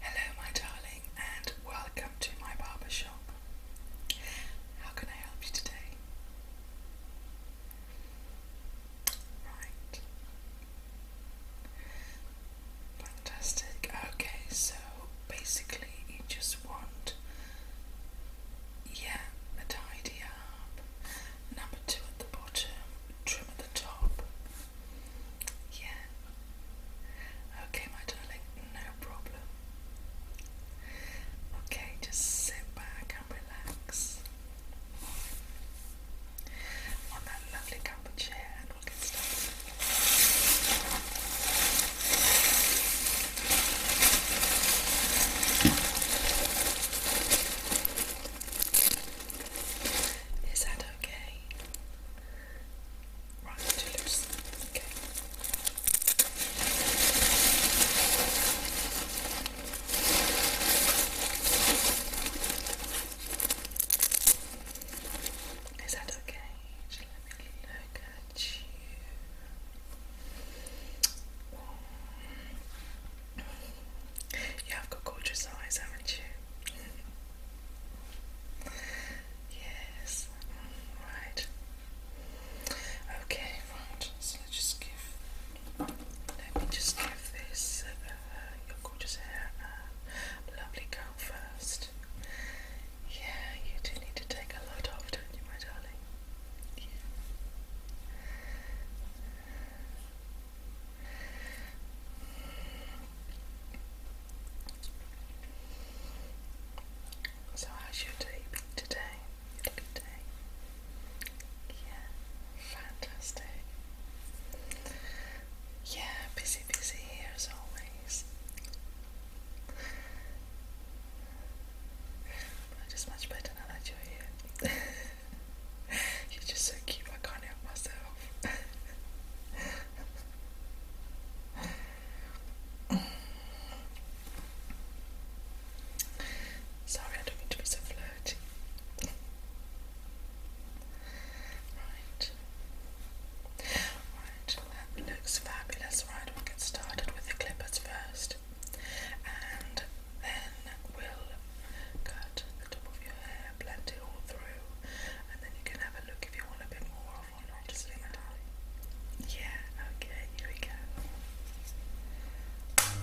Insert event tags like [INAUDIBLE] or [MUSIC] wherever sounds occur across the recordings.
Hello, my darling, and welcome to my barber shop. How can I help you today? Right. Fantastic. Okay, so basically, you just want, yeah, a tidy up, number two at the bottom, trim at the top. Yeah. Okay, my darling, no problem. Okay, just sit back and relax on that lovely camper chair and we'll get started. Is that okay? Right, too loose. Is that okay? let me look at you. You have got gorgeous eyes, haven't you? Yes. Right. Okay, right. So let's just give. Let me just give this uh, your gorgeous hair lovely go first. Yeah, you do need to take a load off, don't you, my darling? Yeah. So how's your day today? Yeah, fantastic. Yeah, busy, busy here as always. But much better now that you're here. [LAUGHS] you're just so cute, I can't help myself. Sorry, I don't mean to be so flirty. Right. Right, that looks fabulous. Right, we'll get started with the clippers first. And then we'll cut the top of your hair, blend it all through, and then you can have a look if you want a bit more yeah, okay, here we go. Okay.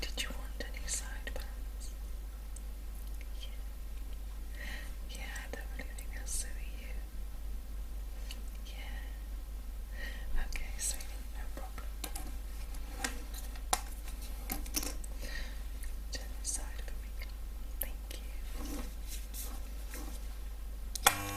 Did you want any side bands? Yeah. I don't really think that's you. Yeah. Okay, so no problem. Turn this side Thank you.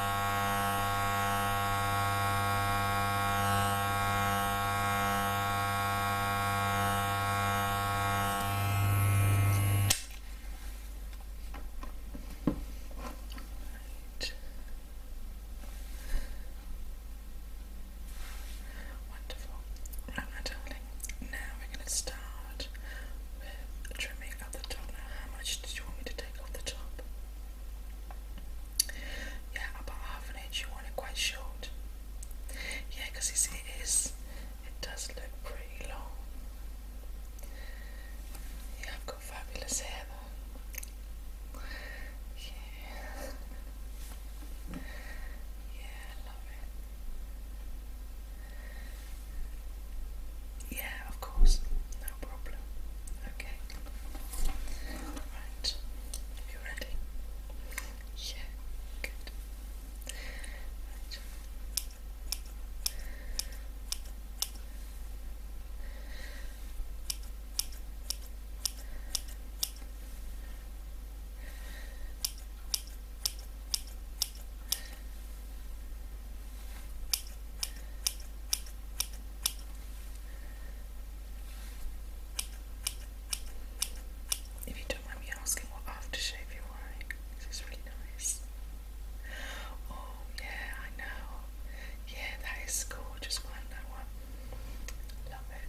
Wonderful. Right, my darling. Now we're going to start with trimming up the top. Now, how much did you want me to take off the top? Yeah, about half an inch. You want it quite short. Yeah, because it is. It does look pretty long. Yeah, I've got fabulous hair Yeah. Yeah, love it. Yeah, of course. No problem. Okay. Alright, you ready? Yeah, good. Right. If you don't mind me asking what aftershave you're this is really nice. Oh yeah, I know. Yeah, that is cool. Just that one. Love it.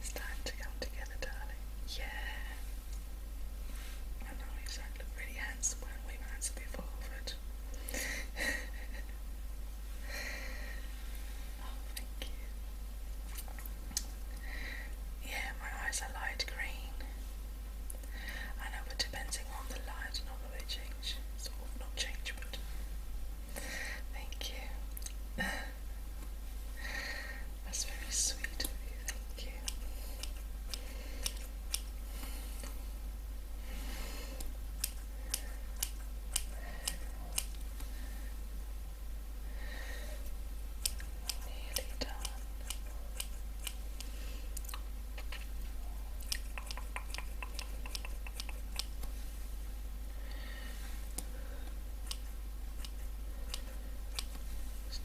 It's time to come together, darling. Yeah. I know you sound really handsome we might be forward. oh, Yeah, my eyes are light green. I but depending on the light and change, sort not change, but thank you. [LAUGHS] That's very sweet of you, thank you. Nearly done.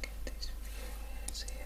get these viewers here.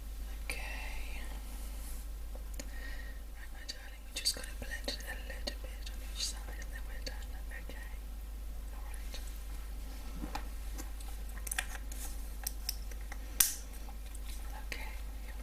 Okay. Right, my darling, we just got to blend a little bit on each side and then we're done. Okay. Okay, you're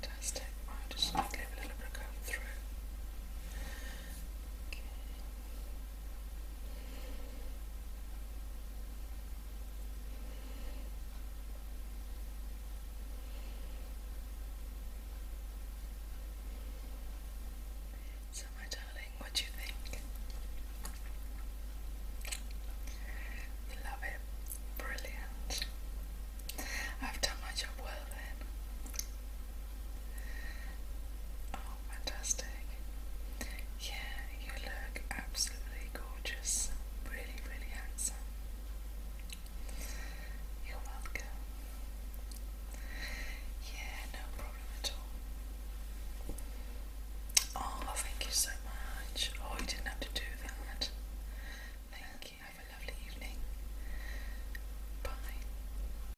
Fantastic. I just gave a little bit of going through. Okay. So, my darling, what do you think? You love it. Brilliant. I've done my job well then fantastic. Yeah, you look absolutely gorgeous. Really, really handsome. You're welcome. Yeah, no problem at all. Oh, thank you so much. Oh, you didn't have to do that. Thank you. Have a lovely evening. Bye.